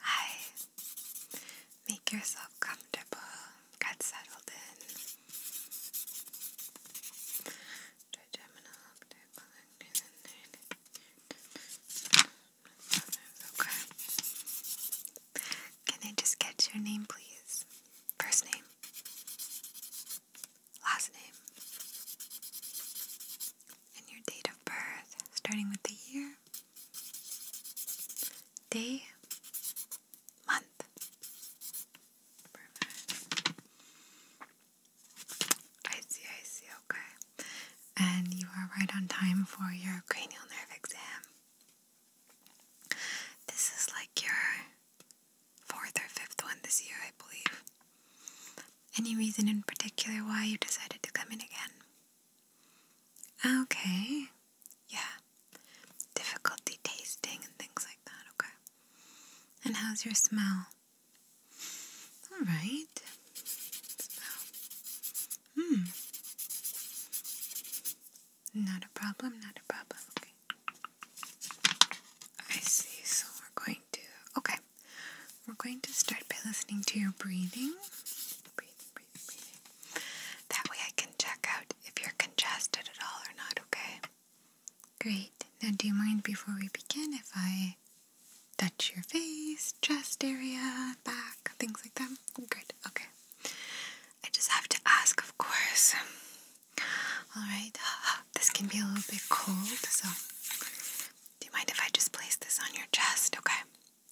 Hi. Make yourself comfortable. Get settled in. Can I just get your name, please? First name. Last name and your date of birth, starting with the year, day, month. I see, I see, okay. And you are right on time for your cranial nerve exam. This is like your fourth or fifth one this year, I believe. Any reason in particular why you decided to come in again? Okay. Yeah. Difficulty tasting and things like that, okay. And how's your smell? Alright. Smell. Hmm. Not a problem, not a problem, okay. I see, so we're going okay, we're going to start by listening to your breathing. That way I can check out if you're congested at all or not, okay? Great. Now, do you mind before we begin if I touch your face, chest area, back, things like that? Great. okay. I just have to ask, of course. Alright, this can be a little bit cold, so do you mind if I just place this on your chest? Okay.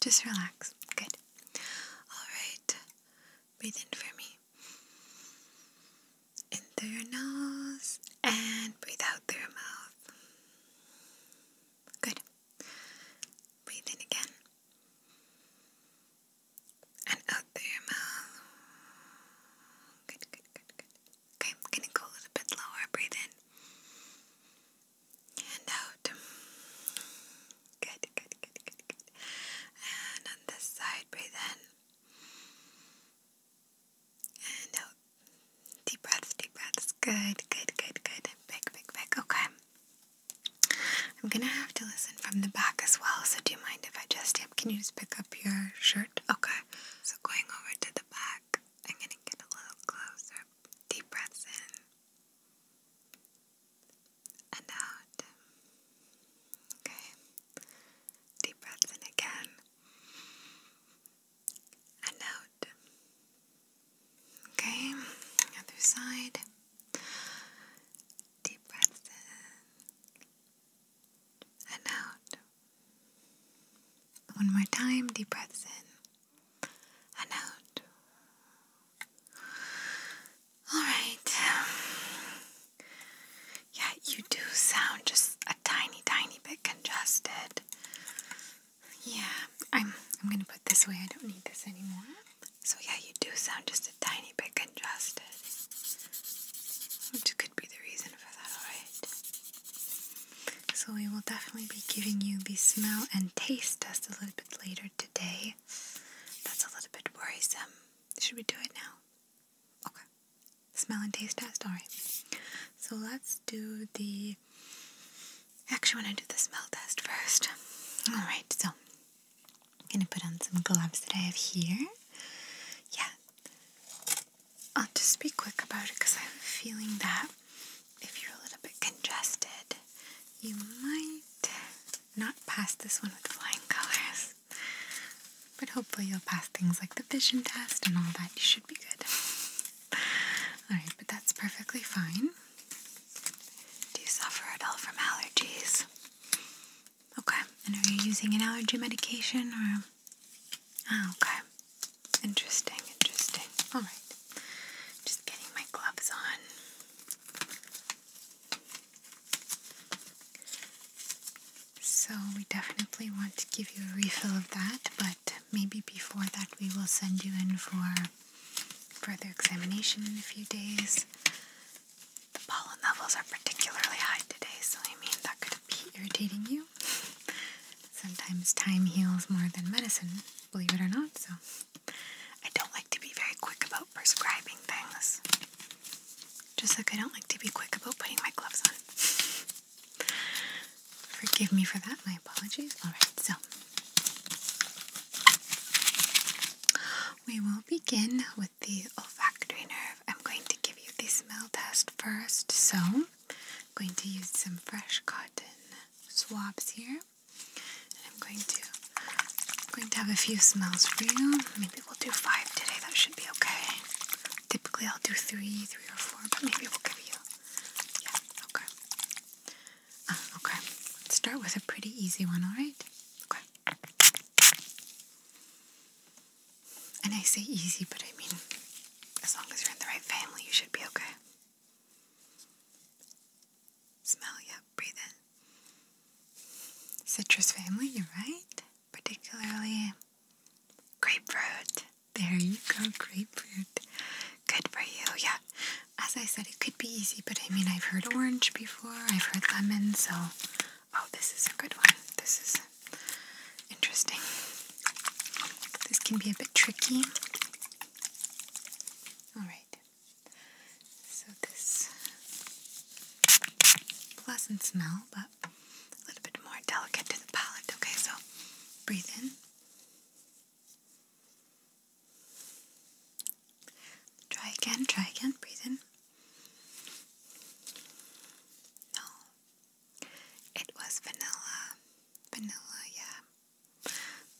Just relax. Good. All right. Breathe in for me. In through your nose and breathe out through your mouth. Good. Breathe in again. And out through your mouth. Good, good, good, good. Okay, I'm gonna go a little bit lower. Breathe in and out. Good, good, good, good, good. And on this side, breathe in and out. Deep breaths, deep breaths. Good, good, good, good. Big, big, big. Okay. I'm gonna have to listen from the back as well, so do you mind if I just, can you just pick up your shirt? Okay. So going over to the back, I'm going to get a little closer. Deep breaths in and out. Okay. Deep breaths in again and out. Okay. Other side. Deep breaths in and out. One more time, deep breaths in and out. Alright. Yeah, you do sound just a tiny, tiny bit congested. Yeah, I'm I'm gonna put this away. I don't need this anymore. So yeah, you do sound just a tiny bit congested. Which could be the reason for that, alright? So we will definitely be giving you the smell and taste test a little bit later today. That's a little bit worrisome. Should we do it now? Okay. Smell and taste test, alright. So let's do the. Actually, I want to do the smell test first. Alright, so I'm gonna put on some gloves that I have here. Yeah. I'll just be quick about it because I have a feeling that if you're a little bit congested, you might not pass this one with flying colors. But hopefully, you'll pass things like the vision test and all that. You should be good. Alright, but that's perfectly fine. Do you suffer at all from allergies? Okay, and are you using an allergy medication or Oh, okay. Interesting, interesting. Alright. Just getting my gloves on. So, we definitely want to give you a refill of that, but maybe before that, we will send you in for further examination in a few days. The pollen levels are particularly high today, so I mean, that could be irritating you. Sometimes time heals more than medicine, believe it or not, so I don't like to be very quick about prescribing things. Just like I don't like to be quick about putting my gloves on. Forgive me for that, my apologies. Alright, so we will begin with the olfactory nerve. I'm going to give you the smell test first, so I'm going to use some fresh cotton swabs here. And I'm going to going to have a few smells for you. Maybe we'll do five today. That should be okay. Typically I'll do three, three or four, but maybe we'll give you yeah, okay. Uh, okay. Let's start with a pretty easy one, alright? Okay. And I say easy, but I mean as long as you're in the right family, you should be okay. Smell, yep, breathe in. Citrus family, you're right. Particularly grapefruit. There you go, grapefruit. Good for you, yeah. As I said, it could be easy, but I mean, I've heard orange before, I've heard lemon, so. Oh, this is a good one. This is interesting. This can be a bit tricky. Alright, so this pleasant smell, but a little bit more delicate to the palate. Okay, so breathe in. Try again, try again, breathe in. No, it was vanilla. Vanilla, yeah.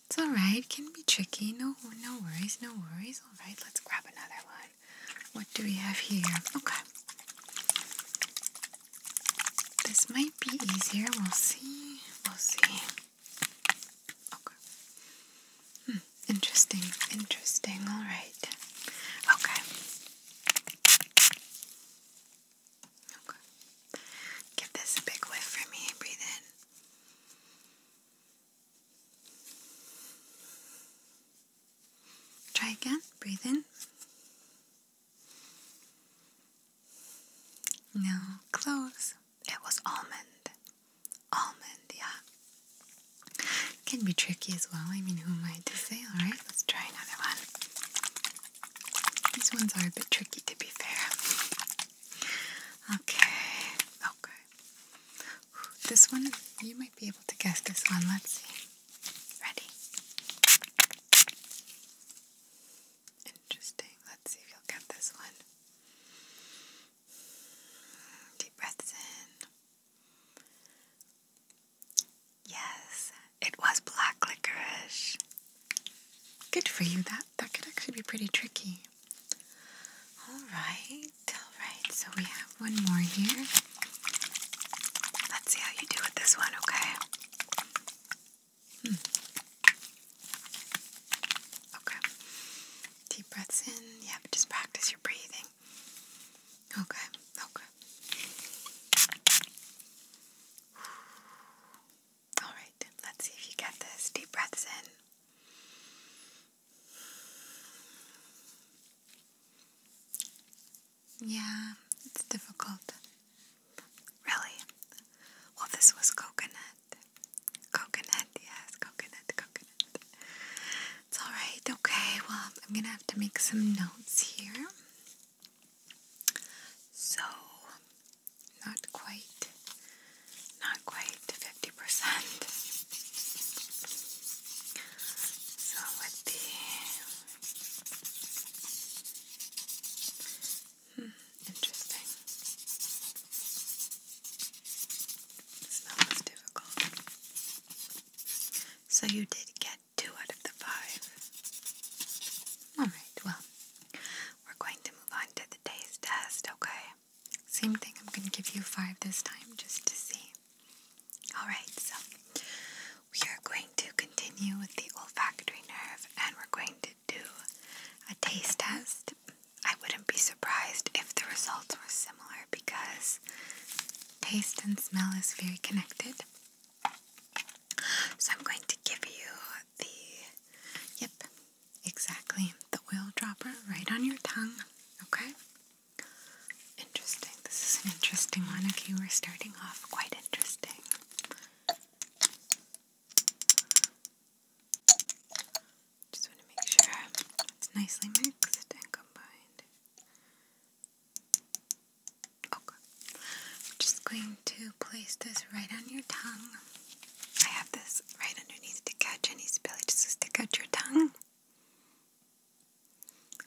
It's alright, can be tricky. No no worries, no worries. Alright, let's grab another one. What do we have here? Okay. This might be easier. We'll see. We'll see. Okay. Hmm. Interesting. Interesting. Alright. Okay. Okay. Give this a big whiff for me. Breathe in. Try again. Breathe in. No, close. It was almond. Almond, yeah. can be tricky as well. I mean, who am I to say? Alright, let's try another one. These ones are a bit tricky to be fair. Okay, okay. This one, you might be able to guess this one. Let's see. Ready? Interesting. Let's see if you'll get this one. Deep breaths in. Yes, it was black licorice. Good for you. That that could actually be pretty tricky. All right, all right. So we have one more here. Let's see how you do with this one, okay? Hmm. Okay. Deep breaths in. Yeah, but just practice your breathing. Okay, okay. Alright, let's see if you get this. Deep breaths in. Yeah, it's difficult. Really? Well, this was coconut. Coconut, yes, coconut, coconut. It's alright, okay. Well, I'm gonna have to make some notes here. So, not quite, not quite 50%. So with the, hmm, interesting. It's not as difficult. So you did get two out of the five. Alright, well, we're going to move on to the taste test, okay? Same thing, I'm going to give you five this time just to see. Alright, so we are going to continue with the olfactory nerve and we're going to do a taste test. I wouldn't be surprised if the results were similar because taste and smell is very connected. So I'm going to give you the, yep, exactly, the oil dropper right on your tongue, okay? Interesting. This is an interesting one. Okay, we're starting off quite interesting. Just want to make sure it's nicely mixed and combined. Okay. I'm just going to place this right on your tongue. I have this right underneath to catch any spillage to stick out your tongue.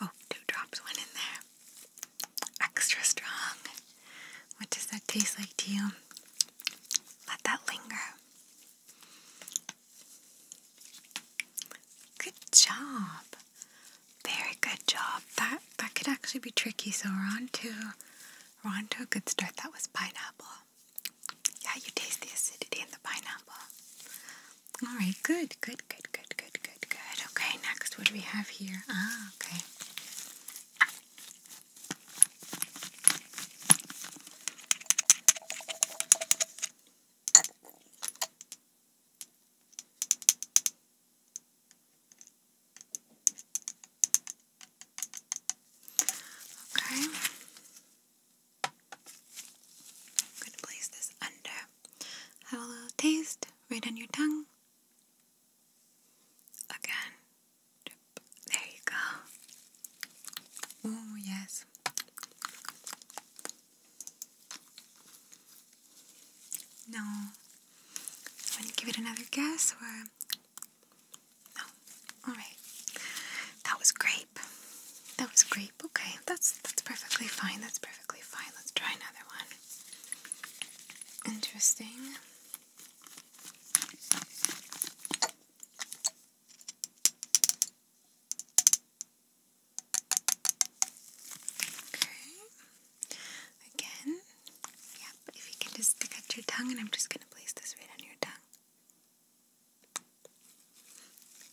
Oh, two drops went in there. Extra strong. What does that taste like to you? Let that linger. Good job. Very good job. That that could actually be tricky. So we're on to a good start. That was pineapple. Yeah, you taste the acidity in the pineapple. All right, good, good, good, good, good, good, good. Okay, next, what do we have here? Ah, okay. Okay. I'm going to place this under. Have a little taste right on your tongue. Again. There you go. Oh, yes. No, Want to give it another guess or? No. Alright. That was grape. That was grape. Okay. That's that's perfectly fine. That's perfectly fine. Let's try another one. Interesting. Okay. Again, yep, if you can just stick your tongue, and I'm just going to place this right on your tongue.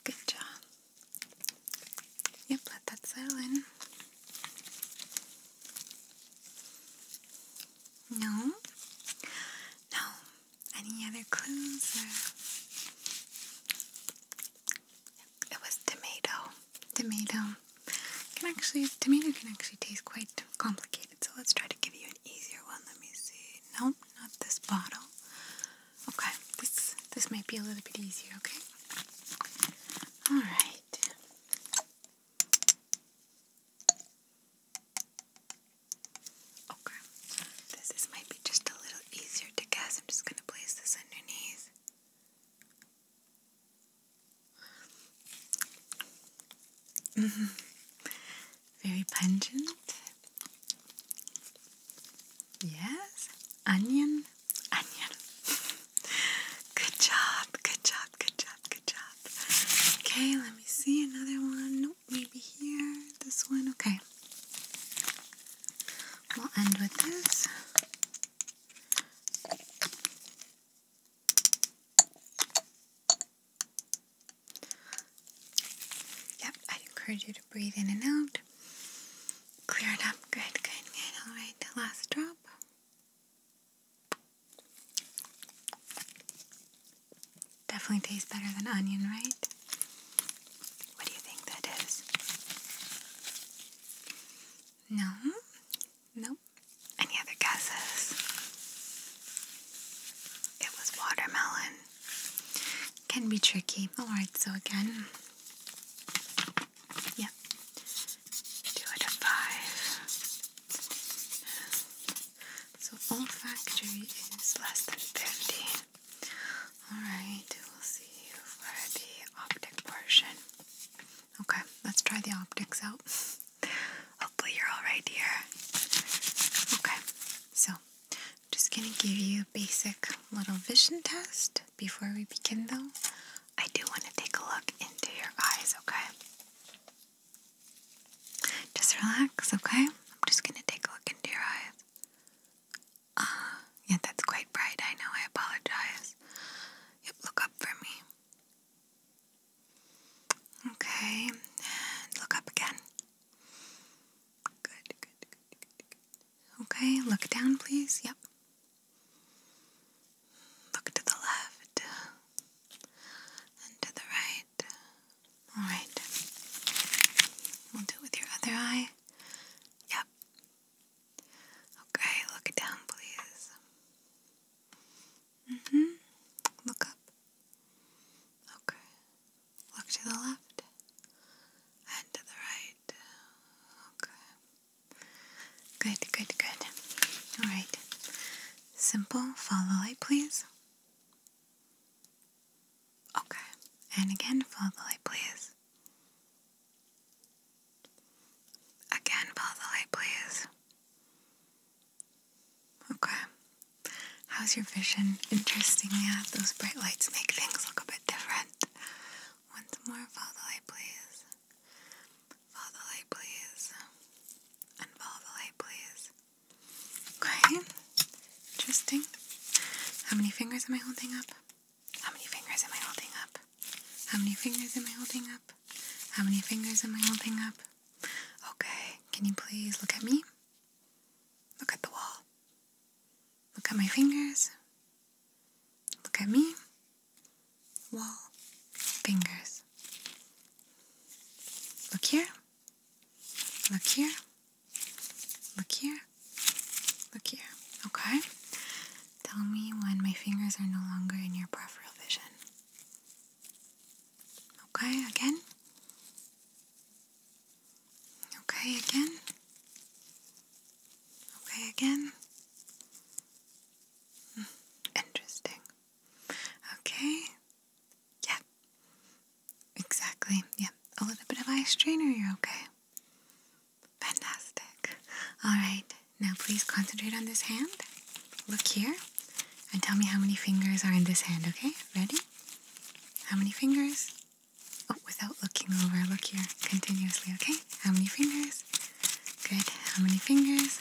Good job. Yep, let that settle in. No? No. Any other clues? It was tomato. Tomato can actually, tomato can actually taste quite complicated, so let's try to give you an easier one. Let me see. Nope, not this bottle. Okay, this this might be a little bit easier, okay? Alright. Okay, this might be just a little easier to guess. I'm just going to place this underneath. Mm-hmm. Very pungent. Yes, onion, onion. good job, good job, good job, good job. Okay, let me see another one. Nope, maybe here. This one, okay. We'll end with this. Yep, i encourage you to breathe in and out. Clear it up. Good, good, good. All right, the last drop. Definitely tastes better than onion, right? What do you think that is? No? Nope. Any other guesses? It was watermelon. Can be tricky. Alright, so again. Yep. Two out of five. So olfactory is less than 50. Alright, we'll see you for the optic portion. Okay, let's try the optics out. Hopefully, you're all right, dear. Okay, so I'm just gonna give you a basic little vision test before we begin, though. I do want to take a look into your eyes, okay? Just relax, okay? I'm just gonna take a look into your eyes. Ah, yeah, that's quite bright. I know. I apologize. Yep, look up for me. Okay, look up again. good, good, good, good. Okay, look down, please. Yep. Look to the left and to the right. Alright. We'll do it with your other eye. Yep. Okay, look down, please. Mm-hmm. Look up. Okay. Look to the left. And to the right. Okay. Good, good, good. Alright. Simple. Follow the light, please. Okay. And again, follow the light, please. Again, follow the light, please. Okay. How's your vision? Interestingly, yeah, those bright lights make things look a bit different. Once more, follow the light, please. Follow the light, please. And follow the light, please. Okay. Interesting. How many fingers am I holding up? How many fingers am I holding up? How many fingers am I holding up? How many fingers am I holding up? Okay, can you please look at me? Look at the wall. Look at my fingers. Look at me. Wall. Fingers. Look here. Look here. Look here. Look here. Okay? Tell me when my fingers are no longer in your peripheral vision. Okay, again. Okay, again. Okay, again. Hmm, interesting. Okay. Yeah. Exactly. Yeah. A little bit of eye strainer, you're okay. Fantastic. All right. Now please concentrate on this hand. Look here and tell me how many fingers are in this hand, okay? Ready? How many fingers? Oh, without looking over, look here continuously, okay? How many fingers? Good. How many fingers?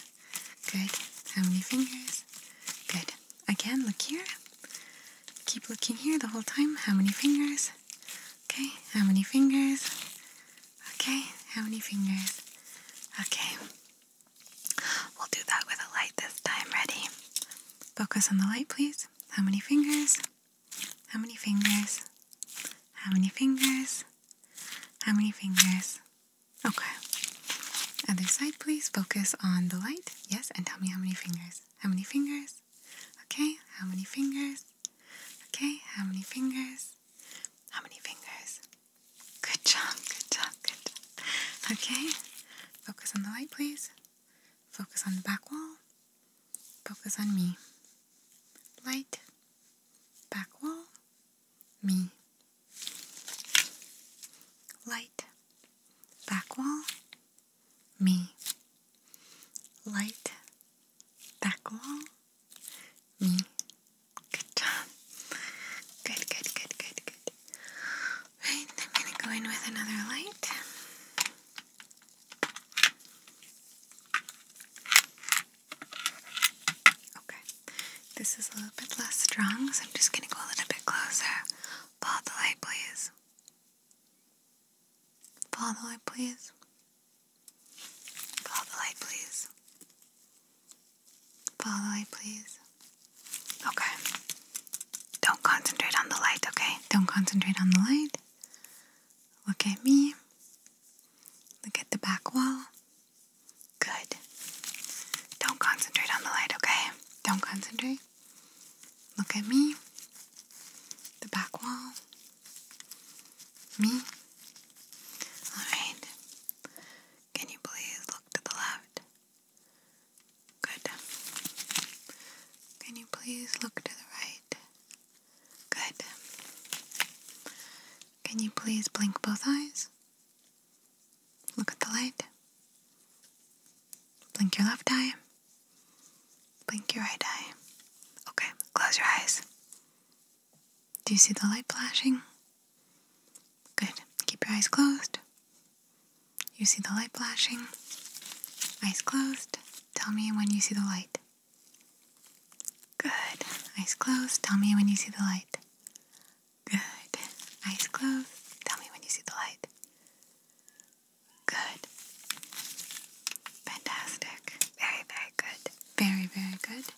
Good. How many fingers? Good. Again, look here. Keep looking here the whole time. How many fingers? Okay. How many fingers? Okay. How many fingers? Okay. We'll do that with a light this time. Ready? Focus on the light, please. How many fingers? How many fingers? How many fingers? How many fingers? Okay. Other side, please. Focus on the light. Yes, and tell me how many fingers. How many fingers? Okay, how many fingers? Okay, how many fingers? How many fingers? Good job, good job, good job. Okay, focus on the light, please. Focus on the back wall. Focus on me. Light, back wall, me. Light, back wall, me. Light, back wall, me. Mm. Good job. Good, good, good, good, good. Right, I'm going to go in with another light. Okay, this is a little bit less strong, so I'm just going to go a little bit closer. Follow the light, please. Follow the light, please. Follow the light, please. Follow the light, please. Okay. Don't concentrate on the light, okay? Don't concentrate on the light. Look at me. Look at the back wall. Good. Don't concentrate on the light, okay? Don't concentrate. Look at me. The back wall. Me. Alright. Can you please look to the left? Good. Can you please look to the right? Good. Can you please blink both eyes? Look at the light. Blink your left eye. Blink your right eye. Okay, close your eyes. Do you see the light flashing? Good. Keep your eyes closed. You see the light flashing. Eyes closed. Tell me when you see the light. Good. Eyes closed. Tell me when you see the light. Good. Eyes closed. Tell me when you see the light. Good. Fantastic. Very, very good. Very, very good.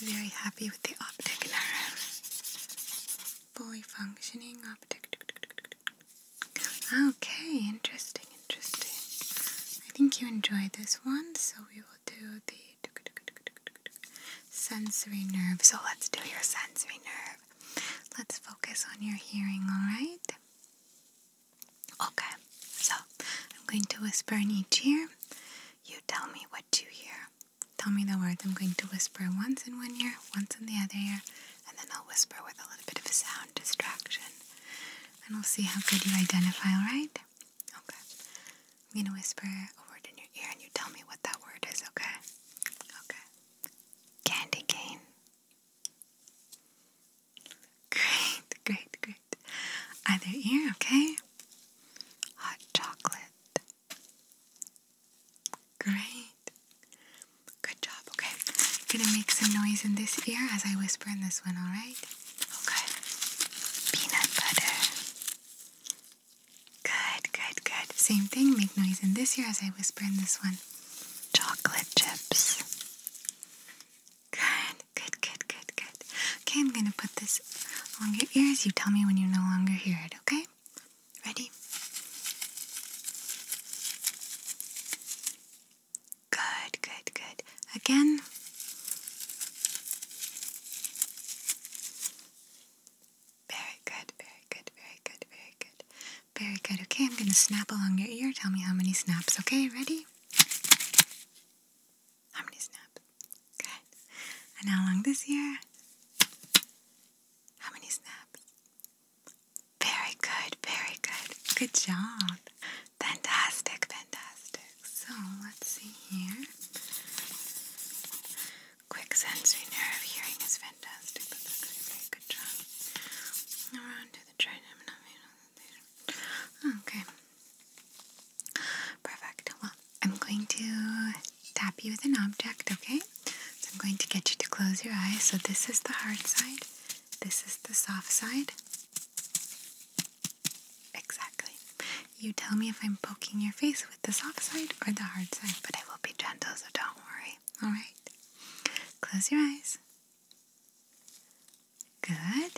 Very happy with the optic nerve. Fully functioning optic. Okay, interesting, interesting. I think you enjoyed this one, so we will do the sensory nerve. So let's do your sensory nerve. Let's focus on your hearing, alright? Okay, so I'm going to whisper in each ear. You tell me what you hear. Tell me the words. I'm going to whisper once in one ear, once in the other ear, and then I'll whisper with a little bit of a sound distraction. And we'll see how good you identify, alright? Okay. I'm going to whisper a word in your ear and you tell me what that word is, okay? Okay. Candy cane. Great, great, great. Either ear, okay? Hot chocolate. Great. Good job. Okay. I'm gonna make some noise in this ear as I whisper in this one, alright? Okay. Peanut butter. Good, good, good. Same thing. Make noise in this ear as I whisper in this one. Chocolate chips. Good, good, good, good, good. Okay, I'm gonna put this along your ears. You tell me when you no longer hear it, okay? Ready? Good, good, good. Again. Very good, very good, very good, very good. Very good. Okay, I'm going to snap along your ear. Tell me how many snaps, okay? Ready? How many snaps? Good. And how long this year? How many snaps? Very good, very good. Good job. Fantastic, fantastic. So let's see here. Quick sensory nerve hearing is fantastic. That's a very good job. Around to the trinum. Okay. Perfect. Well, I'm going to tap you with an object, okay? So I'm going to get you to close your eyes. So this is the hard side, this is the soft side. Exactly. You tell me if I'm poking your face with the soft side or the hard side, but I will be gentle, so don't worry. Alright? Close your eyes. Good.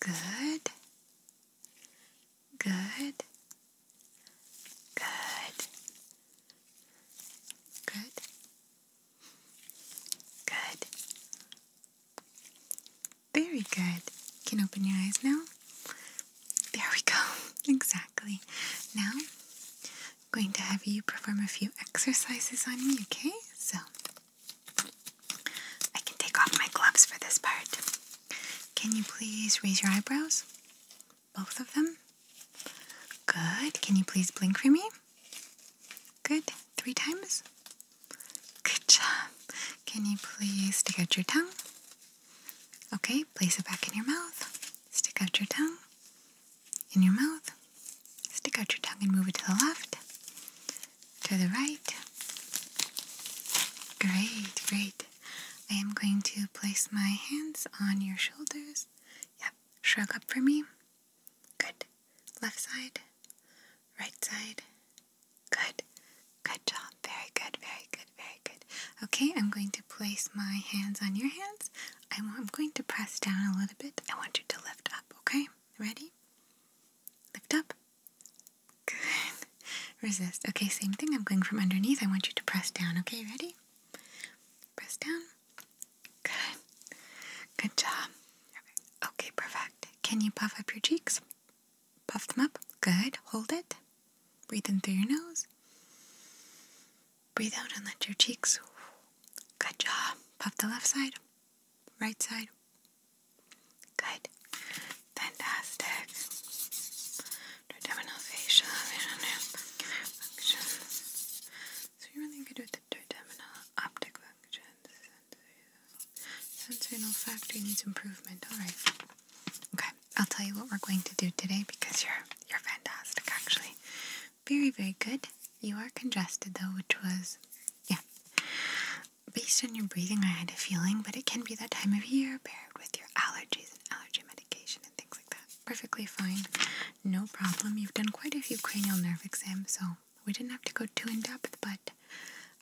Good. Good. Good. Good. Good. Very good. You can open your eyes now. There we go. Exactly. Now, I'm going to have you perform a few exercises on me, okay? So, I can take off my gloves for this part. Can you please raise your eyebrows? Both of them? Good. Can you please blink for me? Good. Three times? Good job. Can you please stick out your tongue? Okay, place it back in your mouth. Stick out your tongue. In your mouth. Stick out your tongue and move it to the left to the right. Great, great. I am going to place my hands on your shoulders. Yep, shrug up for me. Good. Left side, right side. Good. Good job. Very good, very good, very good. Okay, I'm going to place my hands on your hands. I'm going to press down a little bit. I want you to lift up, okay? Ready? Lift up, Good. Resist. Okay, same thing. I'm going from underneath. I want you to press down. Okay, ready? Press down. Good. Good job. Okay, perfect. Can you puff up your cheeks? Puff them up. Good. Hold it. Breathe in through your nose. Breathe out and let your cheeks. Good job. Puff the left side, right side, Good. Fantastic. Trigeminal fascia. Functions. So you're really good with the trigeminal optic functions. Sensory and olfactory needs improvement. Alright. Okay. I'll tell you what we're going to do today because you're you're fantastic actually. Very, very good. You are congested though, which was yeah. Based on your breathing, I had a feeling, but it can be that time of year paired with your allergies and allergy medication and things like that. Perfectly fine, no problem. You've done quite a few cranial nerve exams, so we didn't have to go too in depth, but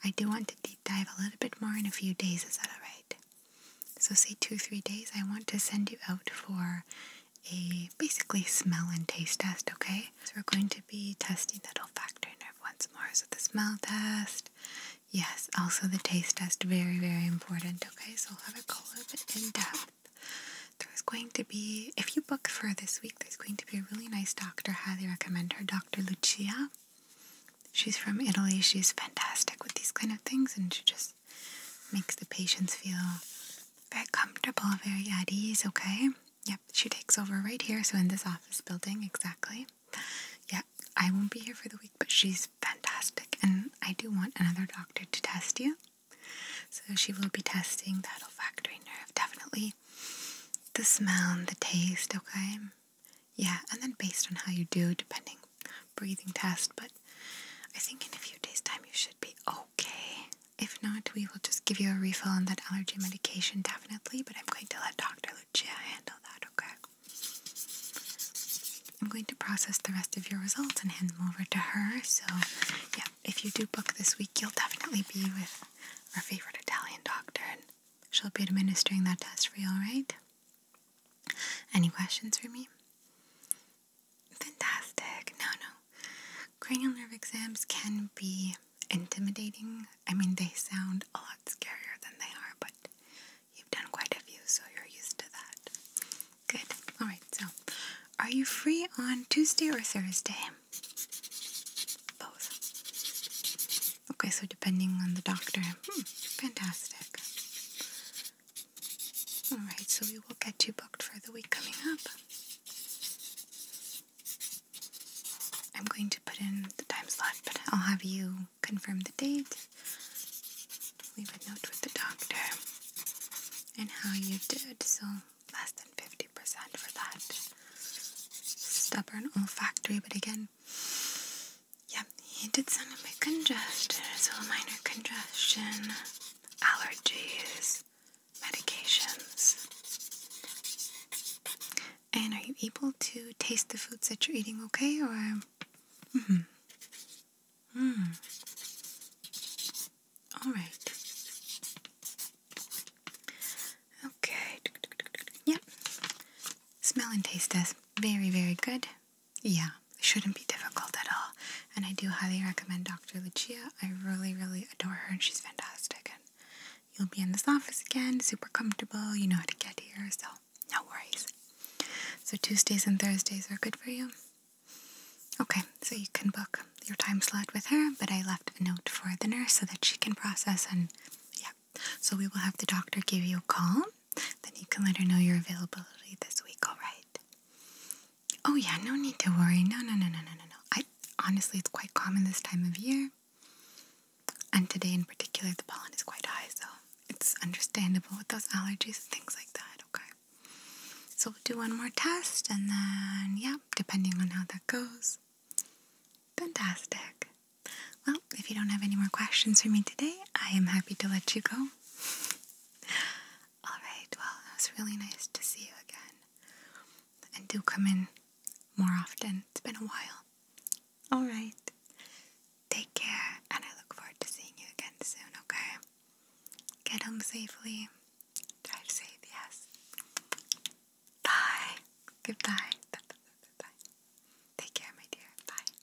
I do want to deep dive a little bit more in a few days. Is that alright? So, say two, three days, I want to send you out for a basically smell and taste test, okay? So, we're going to be testing that olfactory nerve once more. So the smell test. Yes, also the taste test. Very, very important. Okay, so we'll have it go a little bit in depth. There's going to be, if you book for this week, there's going to be a really nice doctor. Highly recommend her, Dr. Lucia. She's from Italy. She's fantastic with these kind of things and she just makes the patients feel very comfortable, very at ease, okay? Yep, she takes over right here, so in this office building, exactly. Yeah, I won't be here for the week, but she's fantastic, and I do want another doctor to test you. So she will be testing that olfactory nerve, definitely the smell and the taste, okay? Yeah, and then based on how you do, depending breathing test, but I think in a few days' time you should be okay. If not, we will just give you a refill on that allergy medication, definitely, but I'm going to let Dr. G I handle that, okay? I'm going to process the rest of your results and hand them over to her. So, yeah, if you do book this week, you'll definitely be with our favorite Italian doctor, and she'll be administering that test for you, alright? Any questions for me? Fantastic. No, no. Cranial nerve exams can be intimidating. I mean, they sound a lot scarier than they are, but you've done quite a few, so you're used to that. Good. All right, so are you free on Tuesday or Thursday? Both. Okay, so depending on the doctor. Hmm, fantastic. All right, so we will get you booked for the week coming up. I'm going put in the time but I'll have you confirm the date, leave a note with the doctor, and how you did. So less than 50% for that stubborn olfactory, but again, yeah, he did sound a bit congested, so minor congestion, allergies, medications. And are you able to taste the foods that you're eating okay or mm-hmm. Mm. hmm right. Okay. Yep. Smell and taste test. Very, very good. Yeah, it shouldn't be difficult at all. And I do highly recommend Dr. Lucia. I really, really adore her and she's fantastic. And You'll be in this office again, super comfortable. You know how to get here, so no worries. So, Tuesdays and Thursdays are good for you. Okay, so you can book your time slot with her, but I left a note for the nurse so that she can process and yeah. So, we will have the doctor give you a call, then you can let her know your availability this week, all right? Oh, yeah, no need to worry. No, no, no, no, no, no, no. I honestly, it's quite common this time of year. And today in particular, the pollen is quite high, so it's understandable with those allergies and things like that, okay? So we'll do one more test, and then, yeah, depending on how that goes. Fantastic. Well, if you don't have any more questions for me today, I am happy to let you go. Alright, well, it was really nice to see you again. And do come in more often. It's been a while. Alright. Take care, and I look forward to seeing you again soon, okay? Get home safely. Drive safe, yes. Bye. Goodbye. Take care, my dear. Bye.